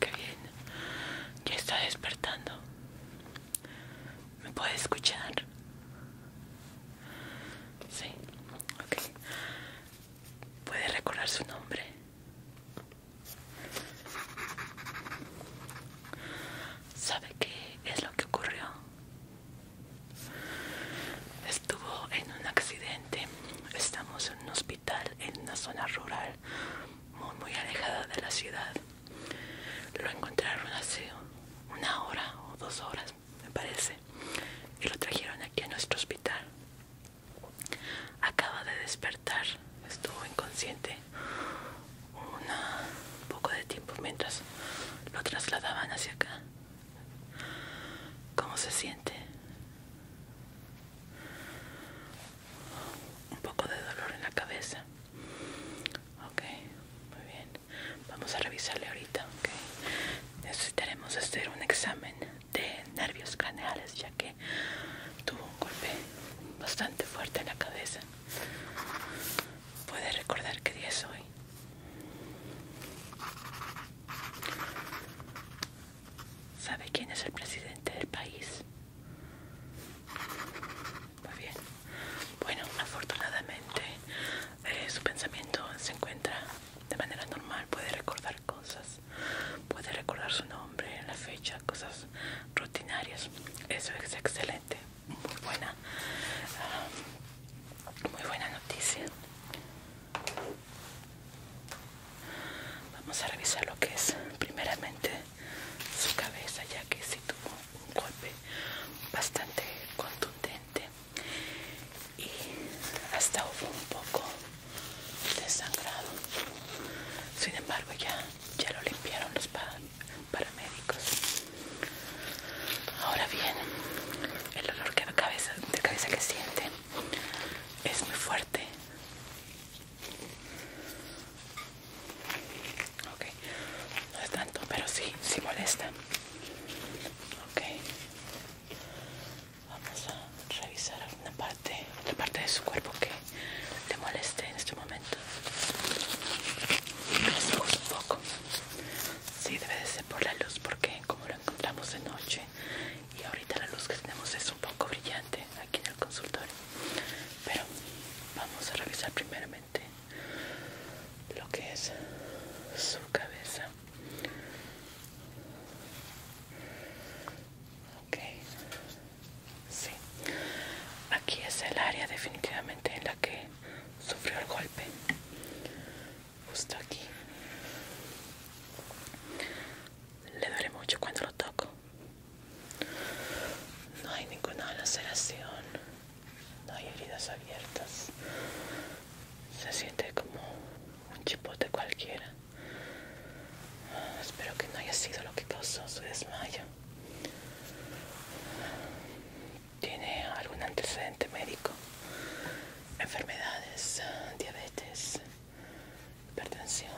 Qué bien, ya está despertando. ¿Me puede escuchar? Sí, ok. ¿Puede recordar su nombre? ¿Sabe qué es lo que ocurrió? Estuvo en un accidente. Estamos en un hospital en una zona rural muy muy alejada de la ciudad. Lo encontraron hace una hora o dos horas, me parece, y lo trajeron aquí a nuestro hospital. Acaba de despertar, estuvo inconsciente un poco de tiempo mientras lo trasladaban hacia acá. ¿Cómo se siente? Un poco de dolor en la cabeza. Ok, muy bien. Vamos a revisarle ahorita. Necesitaremos hacer un examen de nervios craneales ya que tuvo un golpe bastante fuerte en la cabeza. ¿Puede recordar qué día es hoy? ¿Sabe quién es el presidente del país? Muy bien. Bueno, afortunadamente eh, su pensamiento se encuentra de manera normal. Puede recordar cosas. Puede recordar su nombre, la fecha, cosas rutinarias. Eso es excelente. Muy buena. Ah, muy buena noticia. Vamos a revisar lo que es primeramente su cabeza, ya que sí tuvo un golpe bastante contundente y hasta hubo un poco de sangrado. Sin embargo, ya, ya lo limpiaron los paramédicos. Ahora bien, el olor que cabeza, de cabeza que siente es muy fuerte. Ok, no es tanto, pero sí, sí molesta. Ok, vamos a revisar alguna parte, parte de su cuerpo que te moleste en este momento. un poco. Sí, debe de ser por la luz porque como lo encontramos de noche y ahorita la luz que tenemos es un poco brillante aquí en el consultorio. Pero vamos a revisar primeramente lo que es su cabeza. Ok, sí. Aquí es el área definitivamente en la que sufrió el golpe justo aquí le duele mucho cuando lo toco no hay ninguna laceración no hay heridas abiertas se siente como un chipote cualquiera espero que no haya sido lo que causó su desmayo tiene algún antecedente médico, enfermedades, diabetes, hipertensión,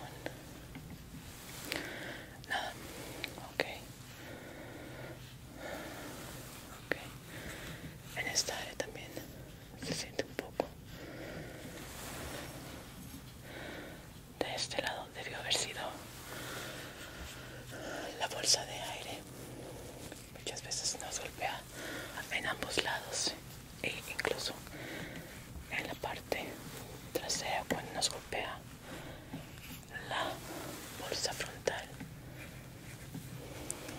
nada, ok, ok, en esta área también se siente un poco, de este lado debió haber sido la bolsa de aire muchas veces nos golpea en ambos lados e incluso en la parte trasera cuando nos golpea la bolsa frontal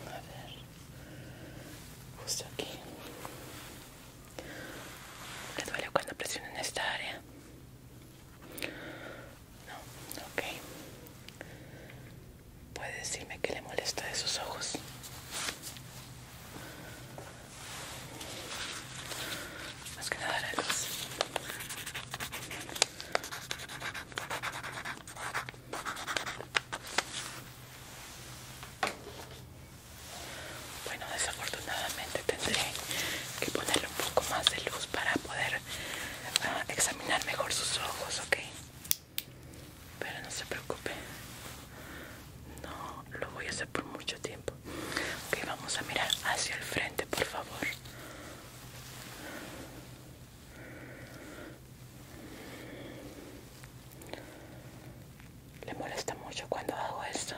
a ver justo aquí le duele cuando en esta área no, ok. ¿Puede decirme qué le molesta de sus ojos? Más que nada la luz. Bueno, desafortunadamente tendré que ponerle un poco más de luz para poder ah, examinar mejor sus ojos, ¿ok? pero no se preocupe no lo voy a hacer por mucho tiempo ok vamos a mirar hacia el frente por favor le molesta mucho cuando hago esto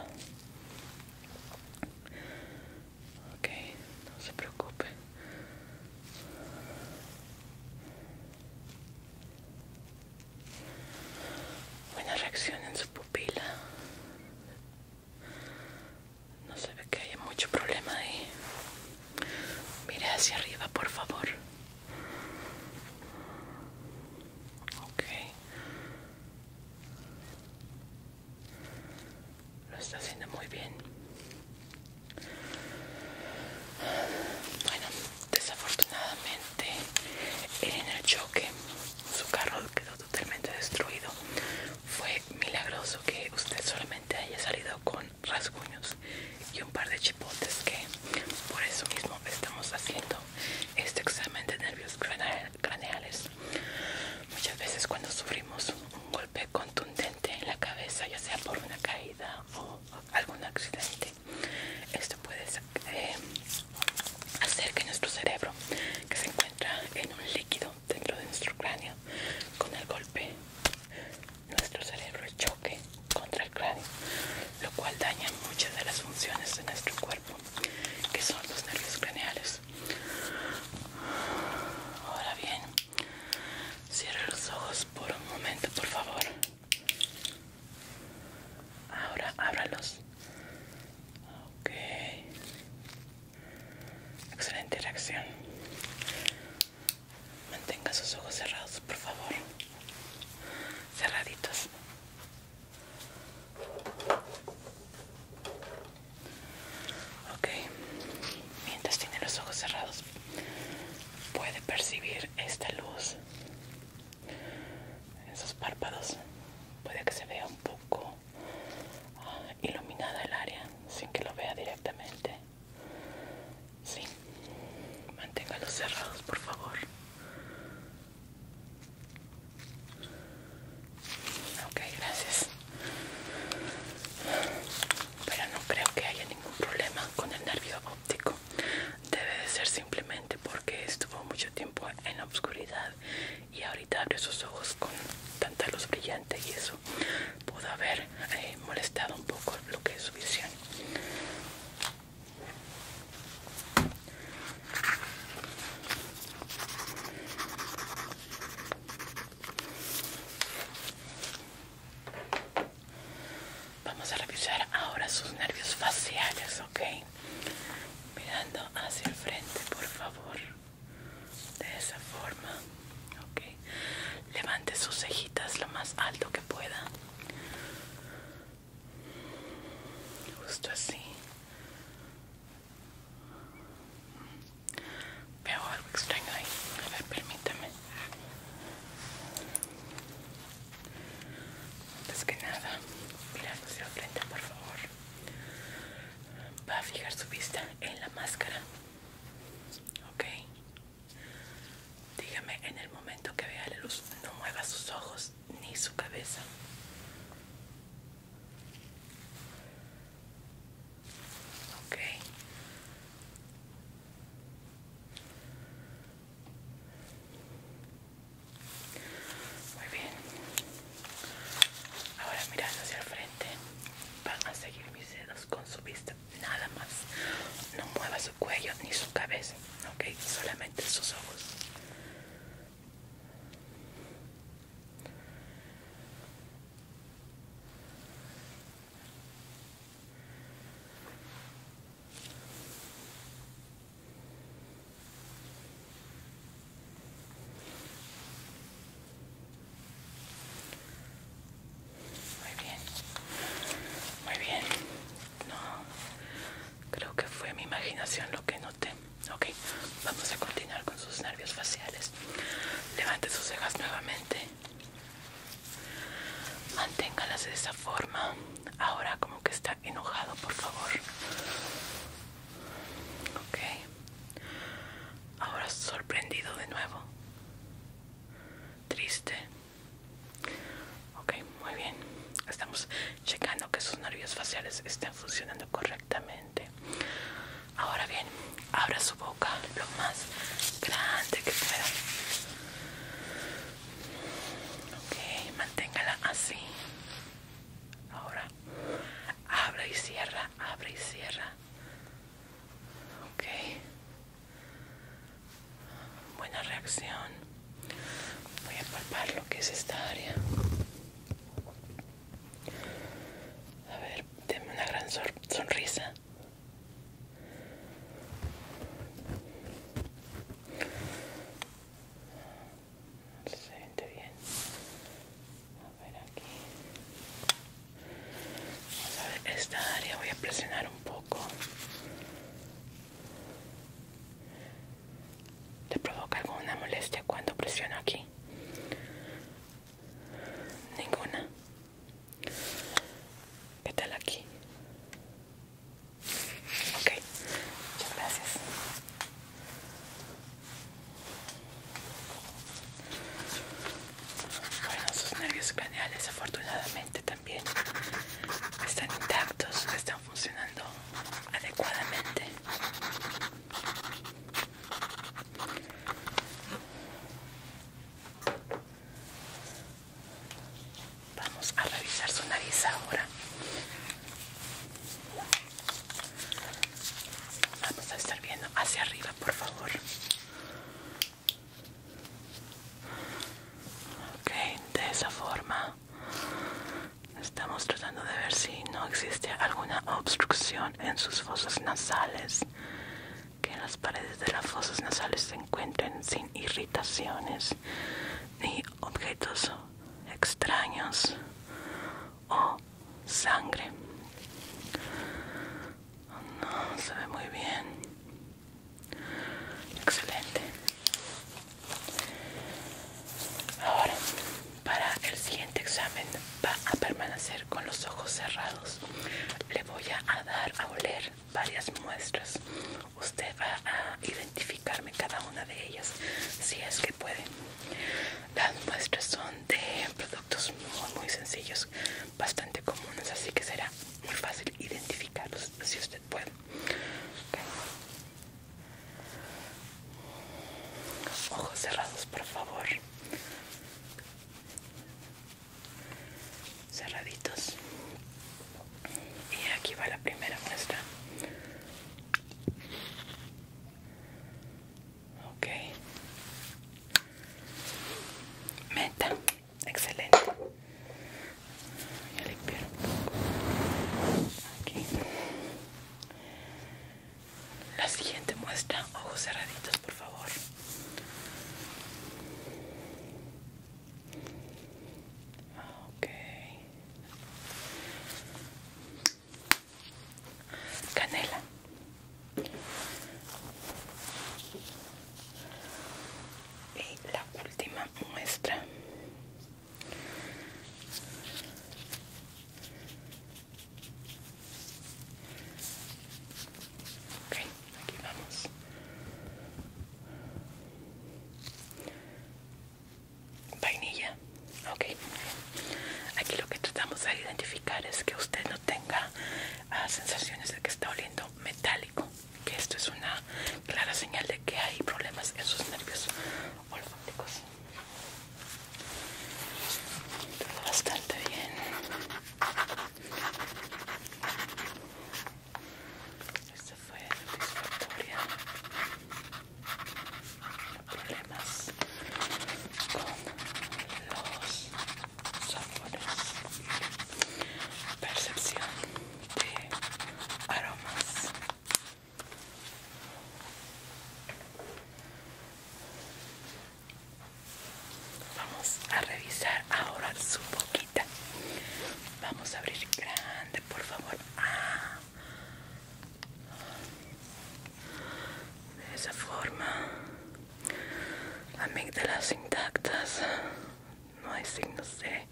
Ok, no se preocupe. Buena reacción en su pupila. No se ve que haya mucho problema ahí. Mire hacia arriba, por favor. Ok lo está haciendo muy bien. Bueno, desafortunadamente en el choque su carro quedó totalmente destruido. Fue milagroso que usted solamente haya salido con rasguños y un par de chipotes que por eso mismo estamos haciendo este examen de nervios craneales. Muchas veces cuando sufrimos un golpe contundente en la cabeza, ya sea por una caída o algún accidente. Esto puede eh, hacer que nuestro cerebro, que se encuentra en un líquido dentro de nuestro cráneo, con el golpe, nuestro cerebro choque contra el cráneo, lo cual daña muchas de las funciones de nuestro cuerpo, que son los nervios craneales. Ahora bien, Cierra los ojos por un momento, por favor. Ahora ábralos. Ok. Excelente reacción. Mantenga sus ojos cerrados, por favor. Cerraditos. Ok, mientras tiene los ojos cerrados, puede percibir esta luz en sus párpados. Puede que se vea un poco ah, iluminada el área sin que lo vea directamente. Sí, manténgalos cerrados, por favor. Ok, gracias. Pero no creo que haya ningún problema con el nervio óptico. Debe de ser simplemente porque estuvo mucho tiempo en la oscuridad y ahorita abre sus ojos con tanta luz brillante y eso pudo haber eh, molestado un poco el que de su visión. Vamos a revisar ahora sus nervios faciales, ¿ok? Mirando hacia el frente, por favor. De esa forma, ¿ok? Levante sus cejitas lo más alto que pueda. Justo así. Veo algo extraño ahí. A ver, permítame. Antes que nada, mira hacia la frente, por favor. Va a fijar su vista en la máscara. Ok. Dígame en el momento que vea la luz, no mueva sus ojos ni su cabeza. Ok. Muy bien. Ahora mirando hacia el frente, van a seguir mis dedos con su vista, nada más. No mueva su cuello ni su cabeza, ok, solamente sus ojos. Muy bien, muy bien. No, creo que fue mi imaginación lo que noté. Ok, vamos a continuar con sus nervios faciales levante sus cejas nuevamente manténgalas de esa forma ahora como que está enojado por favor ok ahora sorprendido de nuevo triste ok muy bien estamos checando que sus nervios faciales estén funcionando correctamente Ahora bien, abra su boca lo más grande que pueda. Ok, manténgala así. Ahora, abre y cierra, abre y cierra. Ok. Buena reacción. Voy a palpar lo que es esta área. A ver, denme una gran sonrisa. Se siente bien. A ver aquí. Vamos a ver esta área. Voy a presionar un poco. ¿Te provoca alguna molestia cuando presiono aquí? Ninguna. ¿Qué tal aquí? Ok, muchas gracias. Bueno, sus nervios craneales afortunadamente también están intactos, están funcionando adecuadamente. Vamos a revisar su nariz ahora. Vamos a estar viendo hacia arriba, por favor. Ok, de esa forma estamos tratando de ver si no existe alguna obstrucción en sus fosas nasales que las paredes de las fosas nasales se encuentren sin irritaciones ni objetos extraños o sangre. Oh, no, se ve muy bien. Excelente. Ahora para el siguiente examen va a permanecer con los ojos cerrados. Le voy a dar a oler varias muestras. Usted va a identificarme cada una de ellas, si es que puede. Las muestras son de productos muy, sencillos, bastante comunes, así que será muy fácil identificarlos si usted puede. Ojos cerrados, por favor cerraditos y aquí va la primera muestra okay meta excelente la siguiente muestra, ojos cerraditos, por favor. Canela. Y la última muestra. Ok, aquí vamos. Vainilla, ok. Aquí lo que tratamos de identificar es que usted no tenga ah, sensaciones de que está oliendo metálico, que esto es una clara señal de que hay problemas en sus nervios olfáticos. Todo bastante bien. Esta fue satisfactoria. No problemas con los sabores. Percepción de aromas. Vamos a revisar ahora su boquita. Vamos a abrir grande, por favor. Ah. De esa forma. las intactas. No hay signos de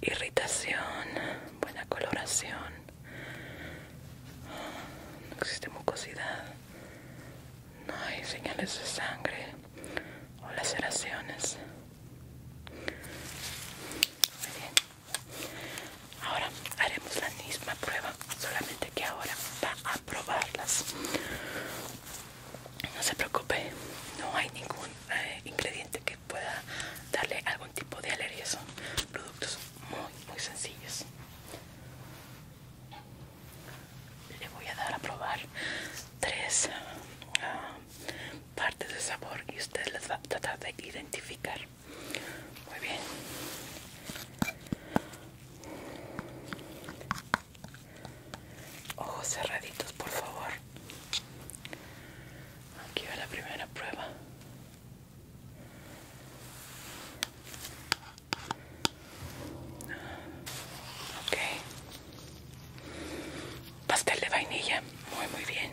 irritación. Buena coloración. No existe mucosidad. No hay señales de sangre o laceraciones. Muy bien. Ahora haremos la misma prueba, solamente que ahora va a probarlas. No se preocupe, no hay ningún eh, ingrediente que pueda darle algún tipo de alergia. Son productos muy muy sencillos. le voy a dar a probar tres ah, partes de sabor y usted las va a tratar de identificar muy bien ojos cerraditos por favor aquí va la primera prueba Ok. Pastel de vainilla. Muy, muy bien.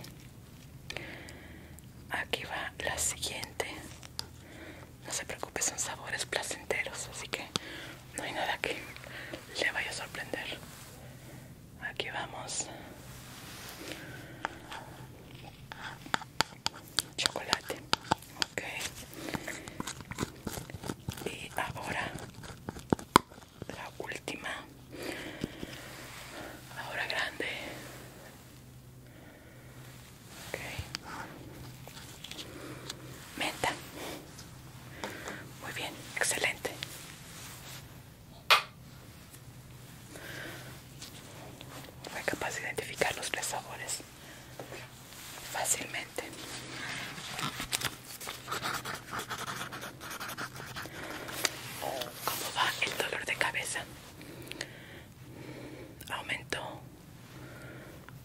Aquí va la siguiente. No se preocupe, son sabores placenteros, así que no hay nada que le vaya a sorprender. Aquí vamos chocolate okay y ahora la última ahora grande ok menta muy bien excelente fue capaz de identificar los tres sabores fácilmente. ¿Cómo va el dolor de cabeza? Aumentó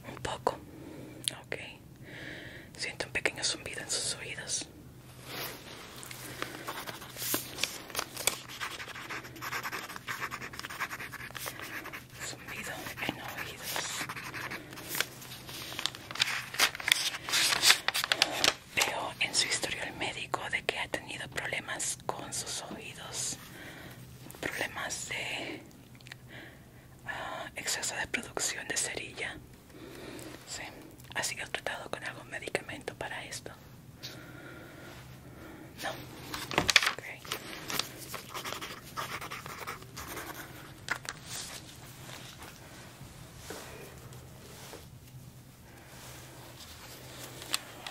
un poco. Ok. Siento un pequeño zumbido en sus oídos. Sumbido en oídos veo en su historial médico de que ha tenido problemas con sus oídos problemas de ah, exceso de producción de cerilla ha sido tratado con algún medicamento para esto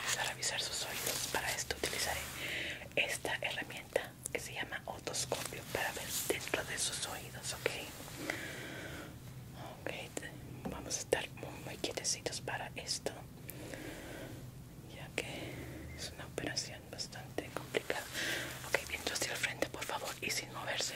Vamos a revisar sus oídos. Para esto utilizaré esta herramienta que se llama otoscopio para ver dentro de sus oídos, ¿ok? Ok, vamos a estar muy quietecitos para esto ya que es una operación bastante complicada. Ok, viento hacia el frente, por favor, y sin moverse.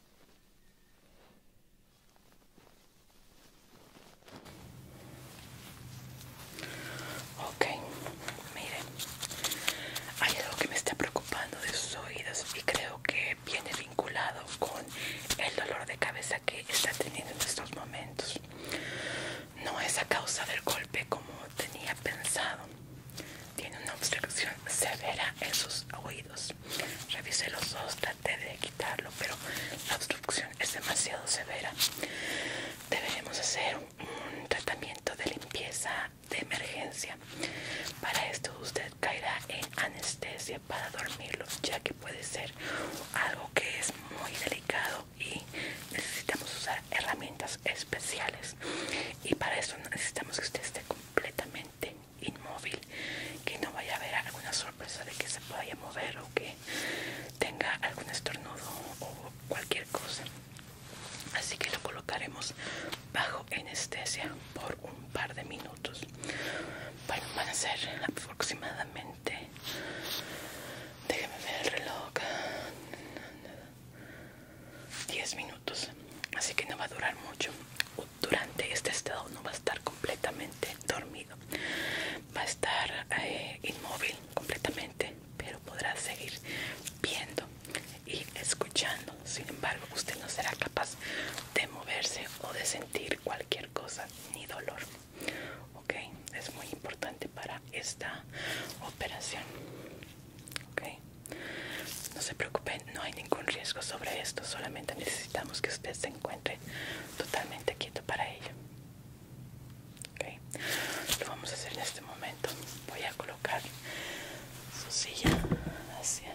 Ok, miren, hay algo que me está preocupando de sus oídos y creo que viene vinculado con el dolor de cabeza que está teniendo en estos momentos. No es a causa del golpe como tenía pensado, tiene una obstrucción severa en sus oídos. Revisé los dos, traté de quitarlo, pero la obstrucción es demasiado severa. Deberemos hacer un, un tratamiento de limpieza de emergencia. Para esto usted caerá en anestesia para dormirlo, ya que puede ser algo que es muy delicado y necesitamos usar herramientas especiales. Y para eso necesitamos que usted esté completamente inmóvil que no vaya a haber alguna sorpresa de que se vaya a mover o que tenga algún estornudo o cualquier cosa así que lo colocaremos bajo anestesia por un par de minutos bueno van a ser aproximadamente déjeme ver el reloj 10 minutos así que no va a durar mucho durante este estado no va a estar completamente dormido va a estar eh, inmóvil completamente pero podrá seguir viendo y escuchando sin embargo usted no será capaz de moverse o de sentir cualquier cosa ni dolor ok es muy importante para esta operación Ok, No se preocupen, no hay ningún riesgo sobre esto, solamente necesitamos que usted se encuentre totalmente quieto para ello. Ok, Lo vamos a hacer en este momento. Voy a colocar su silla hacia...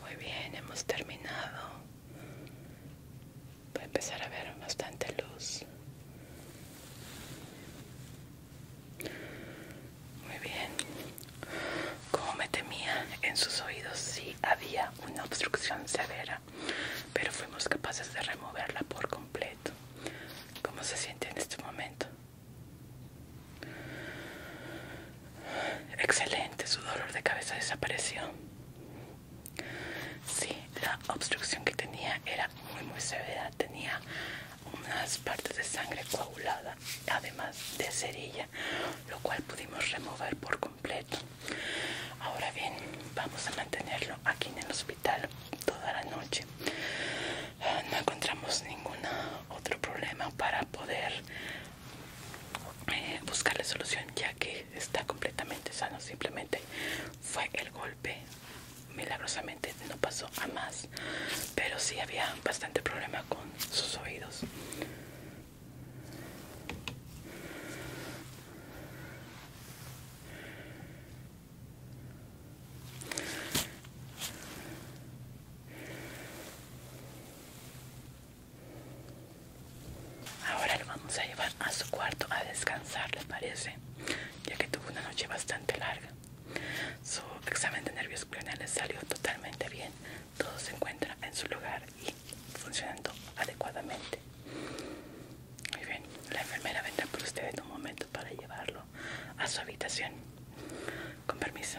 Muy bien, hemos terminado. Voy a empezar a ver bastante luz. Muy bien. Como me temía, en sus oídos sí había una obstrucción severa pero fuimos capaces de removerla por completo ¿cómo se siente en este momento? excelente, su dolor de cabeza desapareció sí, la obstrucción que tenía era muy muy severa tenía unas partes de sangre coagulada además de cerilla lo cual pudimos remover por completo ahora bien vamos a mantenerlo aquí en el hospital toda la noche. Ah, no encontramos ningún otro problema para poder eh, Buscar la solución ya que está completamente sano. Simplemente fue el golpe. Milagrosamente no pasó a más, pero sí había bastante problema con sus oídos. Ahora lo vamos a llevar a su cuarto a descansar, ¿les parece? Ya que tuvo una noche bastante larga. Su examen de nervios craneales salió totalmente bien. Todo se encuentra en su lugar y funcionando adecuadamente. Muy bien, la enfermera vendrá por usted en un momento para llevarlo a su habitación. Con permiso.